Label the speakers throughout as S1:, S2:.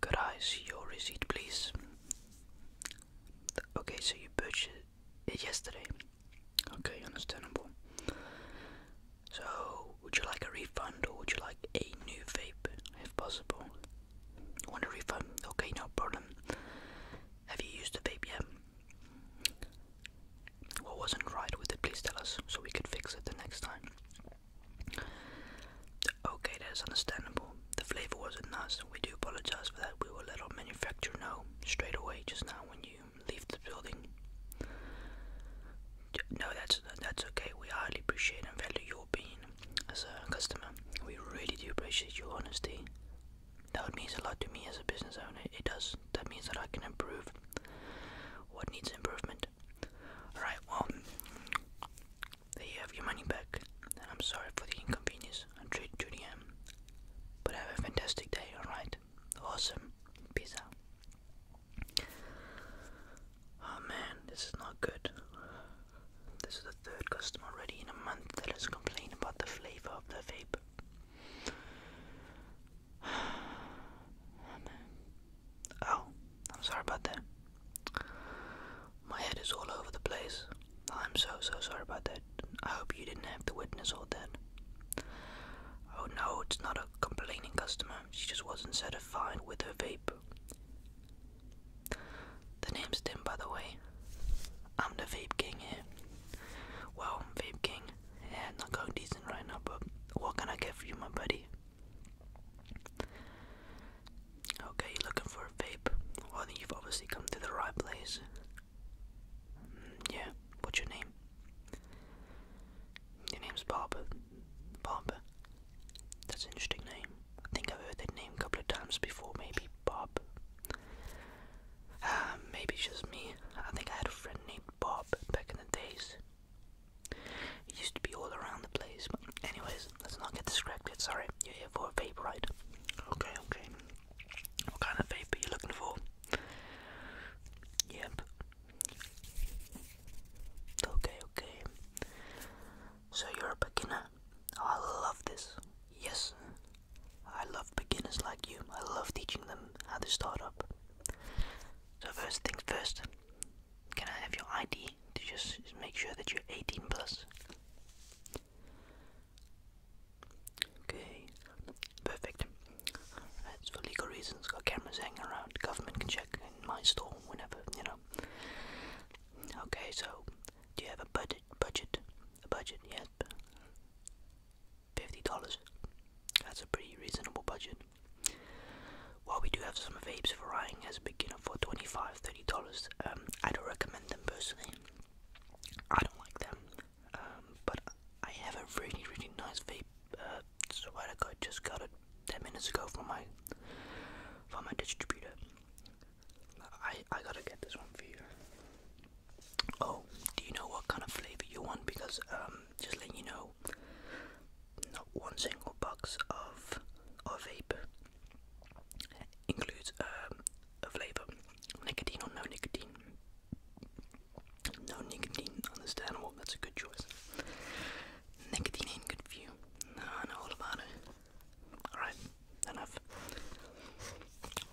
S1: Could I see your receipt, please? Okay, so you purchased it yesterday. Okay, understandable. So, would you like a refund or would you like a new vape, if possible? Want a refund? Okay, no problem. Have you used the vape yet? What wasn't right with it? Please tell us so we could fix it the next time. Okay, that's understandable. The flavor wasn't nice, and We do apologize for that. We will let our manufacturer know straight away just now when you leave the building. No, that's that's okay. We highly appreciate and value your opinion as a customer. We really do appreciate your honesty. That means a lot to me as a business owner. It does. That means that I can improve what needs improvement. Alright, well, there you have your money back, I'm sorry for the inconvenience. I'm Judy M. But have a fantastic day, alright? Awesome. Peace out. Oh man, this is not good. This is the third customer already in a month that has complained about the flavor of the vape. Oh man. Oh, I'm sorry about that. My head is all over the place. I'm so, so sorry about that. I hope you didn't have to witness all that. Oh no, it's not a complaining customer. She just wasn't satisfied with her vape. The name's Tim, by the way. I'm the Vape King here. Well, Vape King, yeah, not going decent right now, but what can I get for you, my buddy? Okay, you're looking for a vape? Well, then you've obviously come to the right place. Mm, yeah, what's your name? Your name's Bob. Bob. That's an interesting name. I think I've heard that name a couple of times before, maybe Bob. Uh, ah, maybe it's just me. I think I had a friend named Bob back in the days. It used to be all around the place, but anyways, let's not get distracted. Sorry, you're here for a vape ride. Okay, okay. What kind of vape are you looking for? Yep. Okay, okay. So you're a beginner? Oh, I love this. Yes. I love beginners like you. I love teaching them how to start up. So first things first, can I have your ID to just make sure that you're 18 plus? Okay, perfect. That's for legal reasons. Got cameras hanging around. Government can check in my store whenever, you know. Okay, so do you have a budget? Budget? A budget? Yes. Fifty dollars. That's a pretty reasonable budget. While we do have some vapes for Ryan as a beginner for $25, $30, um, I don't recommend them personally. I don't like them. Um, but I have a really, really nice vape uh, sweater I just got it 10 minutes ago from my from my distributor. I, I gotta get this one for you. Oh, do you know what kind of flavor you want? Because um, just letting you know, not one single box of or vape includes um, a flavor, nicotine or no nicotine. No nicotine, understandable. That's a good choice. Nicotine ain't good for you. I know all about it. All right, enough.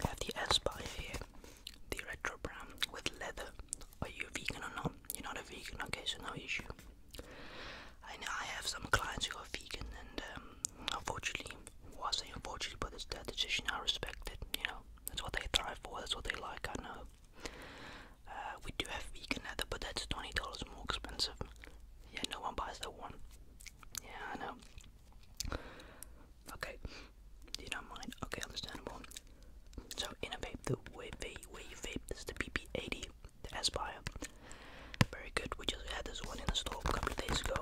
S1: I have the Aspire here, the retro brown with leather. Are you a vegan or not? You're not a vegan. Okay, so no issue. I I have some clients who are vegan, and um, unfortunately, was I unfortunately, but it's their decision. I respect it. You know, that's what they thrive for. That's what they like. I know. Uh, we do have vegan leather, but that's twenty dollars more expensive. Yeah, no one buys that one. Yeah, I know. Okay, you don't mind. Okay, understandable. So in a vape, the way vape, you vape, this is the PP80. Aspire. Very good. We just had this one in the store a couple days ago.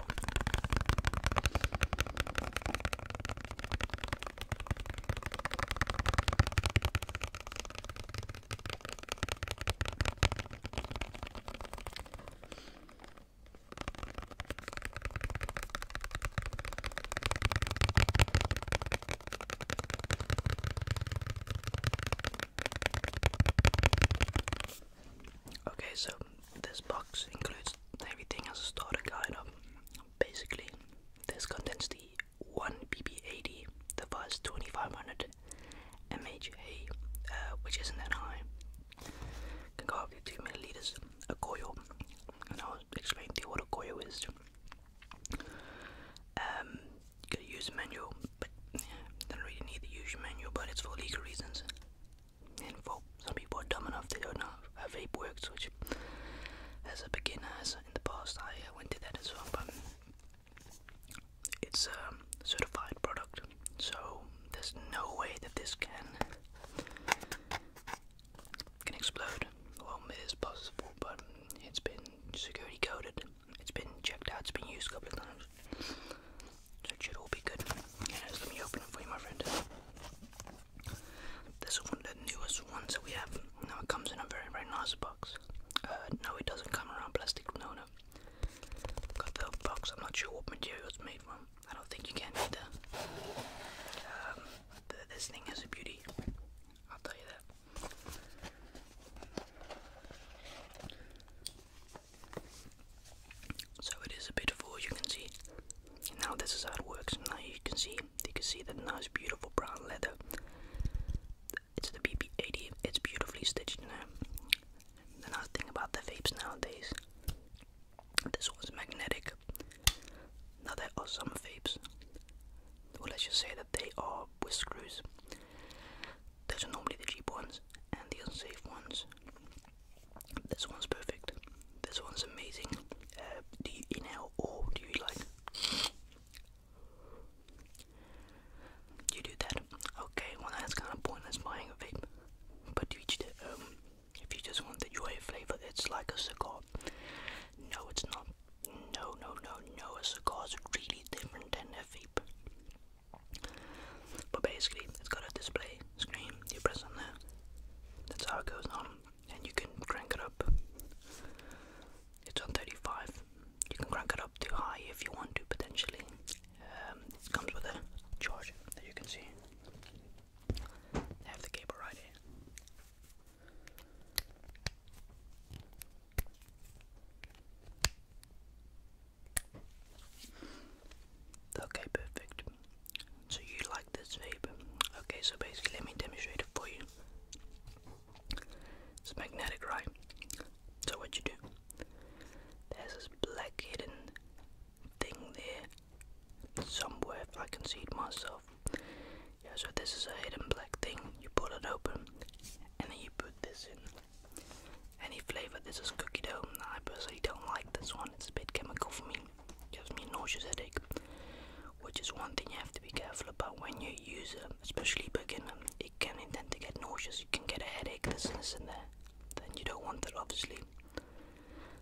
S1: Okay, so this box includes everything as a starter guide. Basically, this contains the 1BB80, the first 2500 MHA, uh, which isn't that high, can go up to 2 milliliters, a coil, and I'll explain to you what a coil is um, manual, but don't really need the user manual, but it's for legal reasons. And for some people are dumb enough they don't know how vape works, which as a beginner, as in the past, I uh, went to that as well. But it's a um, certified product, so there's no way that this can can explode. Well, it is possible, but it's been security coded it's been checked out, it's been used a couple of times. So it should all be good. let me open it for you, my friend. This is one of the newest ones that we have. Now it comes in a very, very nice box. Uh, no, it doesn't come around plastic, no, no. Got the box, I'm not sure what material it's made from. I don't think you can either. Um, this thing has a beauty, I'll tell you that. So it is a beautiful, as you can see. Now this is how it works. Now you can see, you can see that nice, beautiful brown leather. It's the BP 80 It's beautifully stitched. Now know. The nice thing about the vapes nowadays. This one's magnetic. Now there are some vapes. Well, let's just say that they are with screws. Those are normally the cheap ones and the unsafe ones. This one's perfect. This one's amazing. Uh, do you inhale or do you like? You do that. Okay, well that's kind of pointless buying a vape. But um, if you just want the joy flavor, it's like a cigar. No, it's not. No, no, no, no, It's a cigar is really different than a vape. But basically, it's got a display screen, you press on there, that's how it goes on, and you can crank it up. It's on 35, you can crank it up too high if you want to, potentially. Um, comes with a charger that you can see. have the cable right here. Okay, perfect. So you like this vape? Okay, so basically let me demonstrate it for you. It's magnetic, right? So what you do? There's this black hidden thing there somewhere I can see it myself. Yeah, so this is a hidden black thing. You pull it open and then you put this in. Any flavor, this is cookie dough. I personally don't like this one, it's a bit chemical for me. Gives me nauseous headache. Which is one thing you have to be careful about when you use it, especially beginner. It can intend to get nauseous, you can get a headache, this and this and there. Then you don't want that obviously.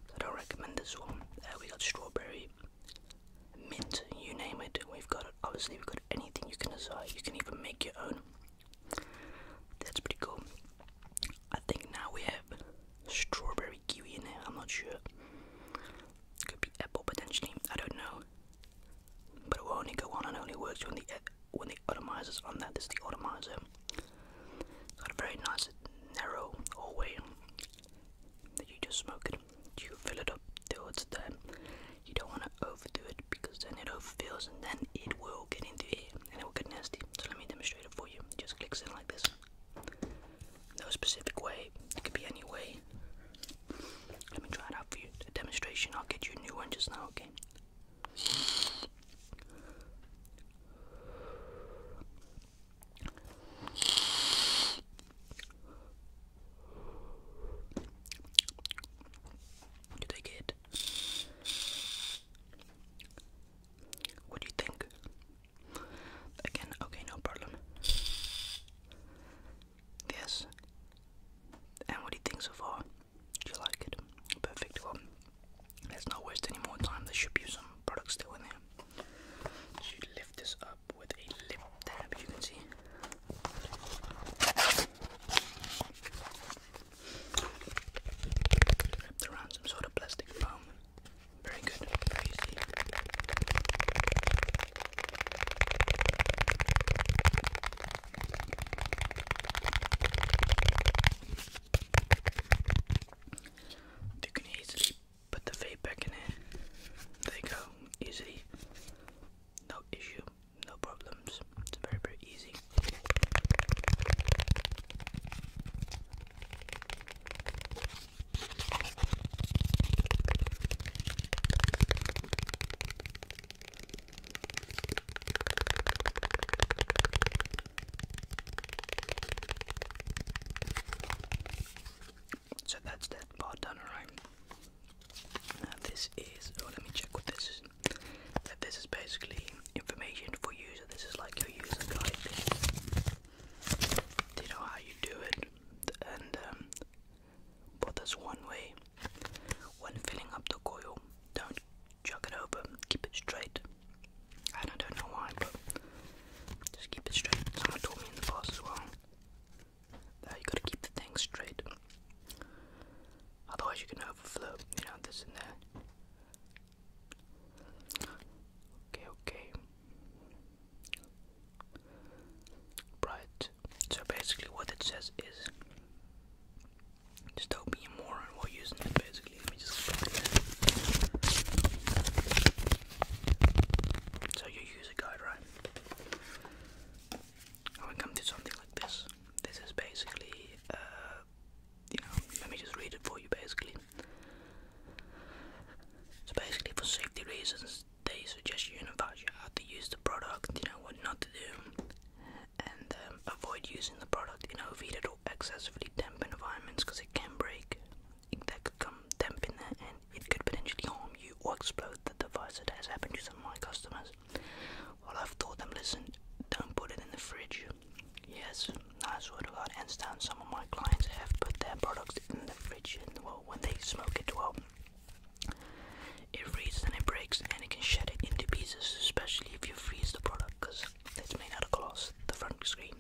S1: So I don't recommend this one. Uh, we got strawberry, mint, you name it, we've got it. Obviously, we've got anything you can desire. You can even make your own. That's pretty cool. I think now we have strawberry kiwi in there. I'm not sure. Could be apple potentially. I don't know. But it will only go on and only works when the when the atomizer's on that. there's the atomizer. It's got a very nice narrow hallway that you just smoke it you fill it up till it's done. You don't want to overdo it because then it overfills and then it will get into here and it will get nasty. So let me demonstrate it for you. just clicks in like this. No specific way. It could be any way. Let me try it out for you. The demonstration. I'll get you a new one just now. Okay. You take get? What do you think? Again, okay, no problem. Yes. And what do you think so far? Do you like it? Perfect. Well, let's not waste any more time. There should be some products still in there. Should lift this up with a lip tab, you can see. Wrapped around some sort of plastic foam. Very good, easy. You can easily put the vape back in here. There you go, easily, no issue no problems. It's very, very easy. So that's that part done, alright? this is, oh let me check what this is. That this is basically information for user. This is like your user guide. Do you know how you do it? And but um, there's one way. When filling up the coil, don't chuck it over. Keep it straight. And I don't know why, but just keep it straight. Someone taught me in the past as well. Now you gotta keep the thing straight. Otherwise you can overflow, you know, this and that. Okay, okay. Right. So basically what it says is just don't be a moron while using it basically. Let me just So you use guide, right? I will come to something like this. This is basically, uh, you know, let me just read it for you basically. So basically, for safety reasons, they suggest you advise you how to use the product, you know, what not to do, and um, avoid using the product in overheated or excessively damp environments because it can break. That could come damp in there, it could potentially harm you or explode the device. It has happened to some of my customers. Well, I've told them, listen, don't put it in the fridge. Yes, nice word about hands down. Some of my clients have put their products in the fridge, and well, when they smoke it, well, it reads and it breaks, and it can shatter into pieces, especially if you freeze the product, because it's made out of glass, the front screen,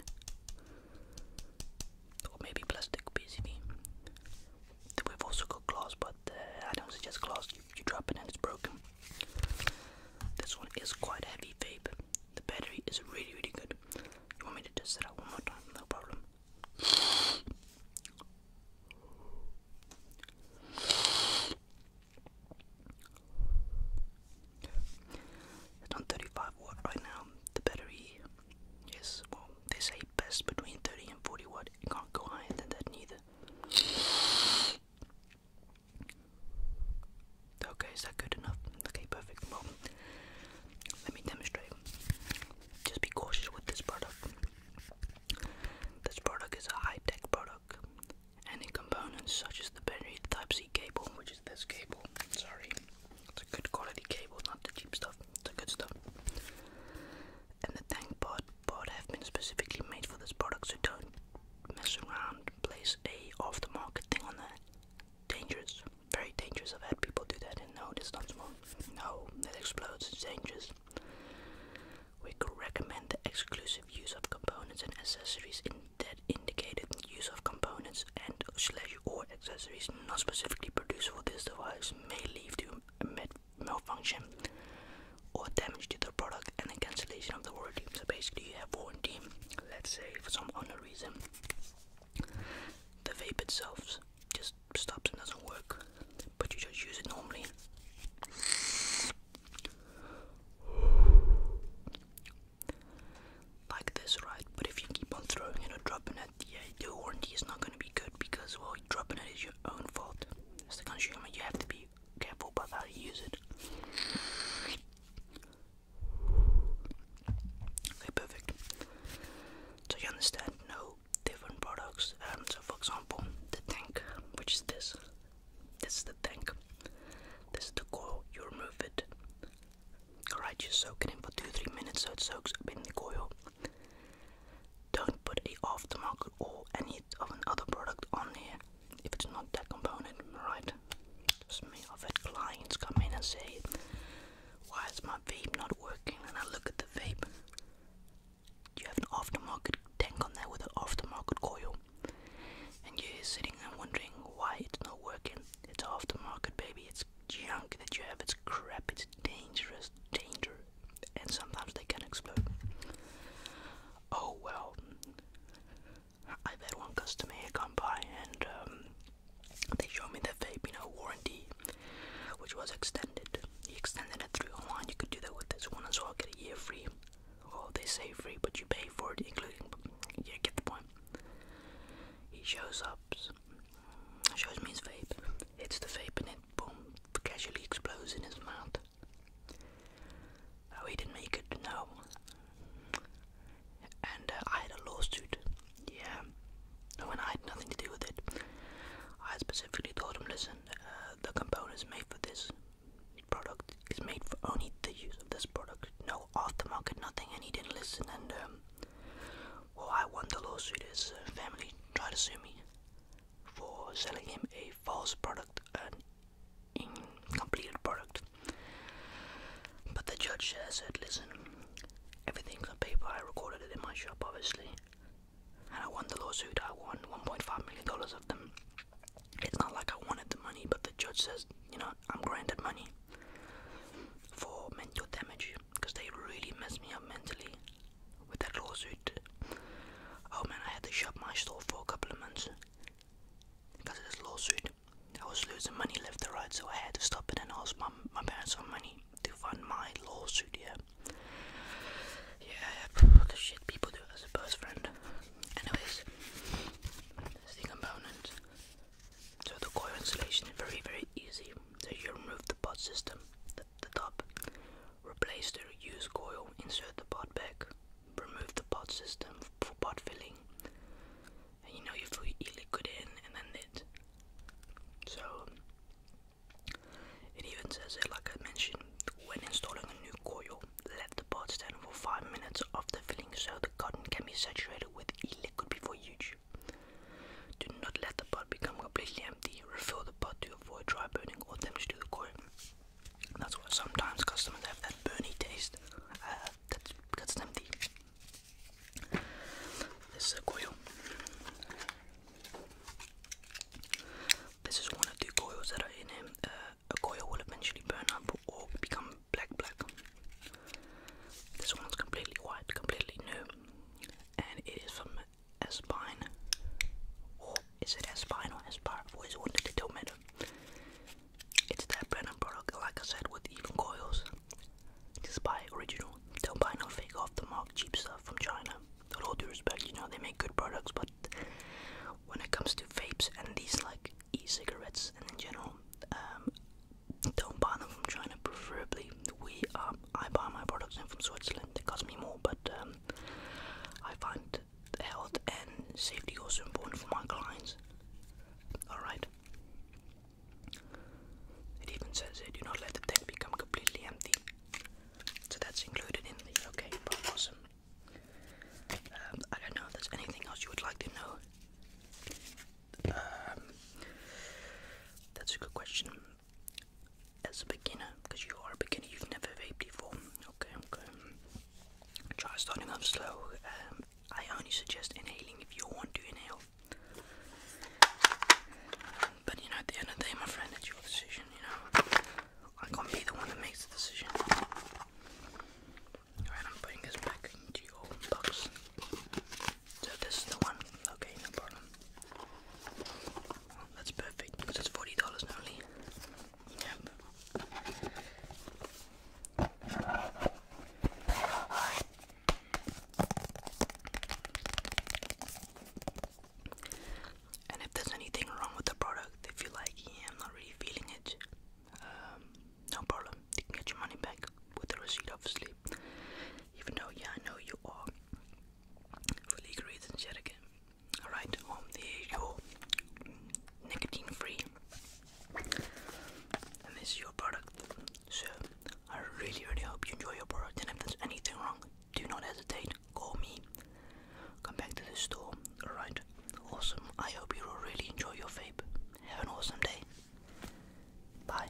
S1: or maybe plastic PCB. We've also got glass, but uh, I don't suggest glass. You, you drop it and it's broken. This one is quite heavy vape. The battery is really, really good. You want me to test it out one more time? No problem. It's on 35 watt right now. The battery is, well, they say best between 30 and 40 watt out. can't go higher than that neither. Okay, is that good enough? Okay, perfect. Well, let me demonstrate. Just be cautious with this product. This product is a high-tech product, and components such as the battery Type-C cable, which is this cable. Sorry, it's a good quality cable, not the cheap stuff. It's a good stuff and the tank pod pod have been specifically made for this product, so don't mess around. Place a off the market thing on there. Dangerous, very dangerous. I've had people do that, and no, it's not No, that explodes. It's dangerous. We could recommend the exclusive use of components and accessories in that indicated use of components and slash or accessories not specifically produced for this device may lead to malfunction or damage to the product and then cancellation of the warranty. So basically, you have warranty. Let's say for some unknown reason, the vape itself just stops and doesn't work, but you just use it normally. Like this, right? But if you keep on throwing it or dropping yeah, the warranty is not gonna be good because well, dropping it is your own fault. As the consumer, you have to be careful about how you use it. perfect. So you understand no different products. Um, so for example, the tank, which is this. This is the tank. This is the coil. You remove it. Alright, you soak it in for two three minutes so it soaks up in the coil. Don't put a aftermarket or any of another product on here if it's not that component, right? Just me, I've had clients come in and say, why is my vape not working? And I look at the vape. You have an aftermarket tank on there with an aftermarket coil. And you're sitting there wondering why it's not working. It's aftermarket, baby. It's junk that you have. It's crap. It's dangerous. Danger and sometimes they can explode. Oh well, I've had one customer come by and um, they showed me the vape, you know, warranty, which was extended. He extended it through online. You could do that with this one as well. Get a year free. Well, they say free, but you pay for it, including. yeah, get the point. He shows up, shows me his vape hits the vape and it boom casually explodes in his mouth. Oh, he didn't make it, no. And uh, I had a lawsuit, yeah. No, I had nothing to do with it. I specifically told him, listen, uh, the component is made for this product is made for only the use of this product, no aftermarket, nothing. And he didn't listen. And um, well, I won the lawsuit. His uh, family tried to sue me, for selling him a false product, an incomplete product. But the judge said, listen, everything's on paper, I recorded it in my shop, obviously, and I won the lawsuit, I won $1.5 million of them. It's not like I wanted the money, but the judge says, you know, I'm granted money for mental damage because they really messed me up mentally with that lawsuit. Oh man, I had to shut my store for a couple of months because of this lawsuit. I was losing money left and right, so I had to stop it and ask my, my parents for money to fund my lawsuit, yeah. Yeah, the shit people do as a best friend. Anyways, that's component. So the coil installation is very, very easy. So you remove the pod system, the top. Replace the reused coil, insert the pot back, remove the pot system for pot filling, and you know you fill your e-liquid in and then it. So it even says it like I mentioned, when installing a new coil, let the pot stand for 5 minutes after filling so the cotton can be saturated with e-liquid before you do not let the pot become completely empty. Refill the pot to avoid dry burning or damage to the coin. That's why sometimes customers have that burny taste. Uh, that's because it's empty. This is coil. This is one of the coils that are in him. Uh, a coil will eventually burn up or become black black. This one's completely white, completely new, and it is from Espine. Or is it Espine or S I've always wanted it, don't It's that brand and product, like I said, with even coils. Just buy original. Don't buy no fake off the mark cheap stuff from China. With all due respect, you know, they make good products, but when it comes to vapes and these like e cigarettes and in general, um, don't buy them from China, preferably. We are I buy my products in from Switzerland. It costs me more, but um, I find health and safety also important for my clients. Alright. It even says here, do not let the tank become completely empty. So that's included in the okay, awesome. Um, I don't know if there's anything else you would like to know. Um, that's a good question as a beginner, because you are a beginner, you've never vaped before. Okay, okay. Try starting off slow. Um, I only suggest inhaling if you want to inhale. But you know, at the end of the day, my friend, it's your decision, you know. I can't be the one that makes the decision. Alright, I'm putting this back into your box. So this is the one. Okay, no problem. that's perfect because it's forty dollars only. Yep. And if there's anything wrong with the product, if you like, I'm not really feeling it. Um, no problem. get your money back with the receipt, obviously. Even though, yeah, I know you are for legal reasons, yet again. Alright, here's your nicotine free. And this is your product. So, I really, really hope you enjoy your product. And if there's anything wrong, do not hesitate. Call me. Come back to the store. Alright, awesome. I hope you will really enjoy your vape. Have an awesome day. Bye.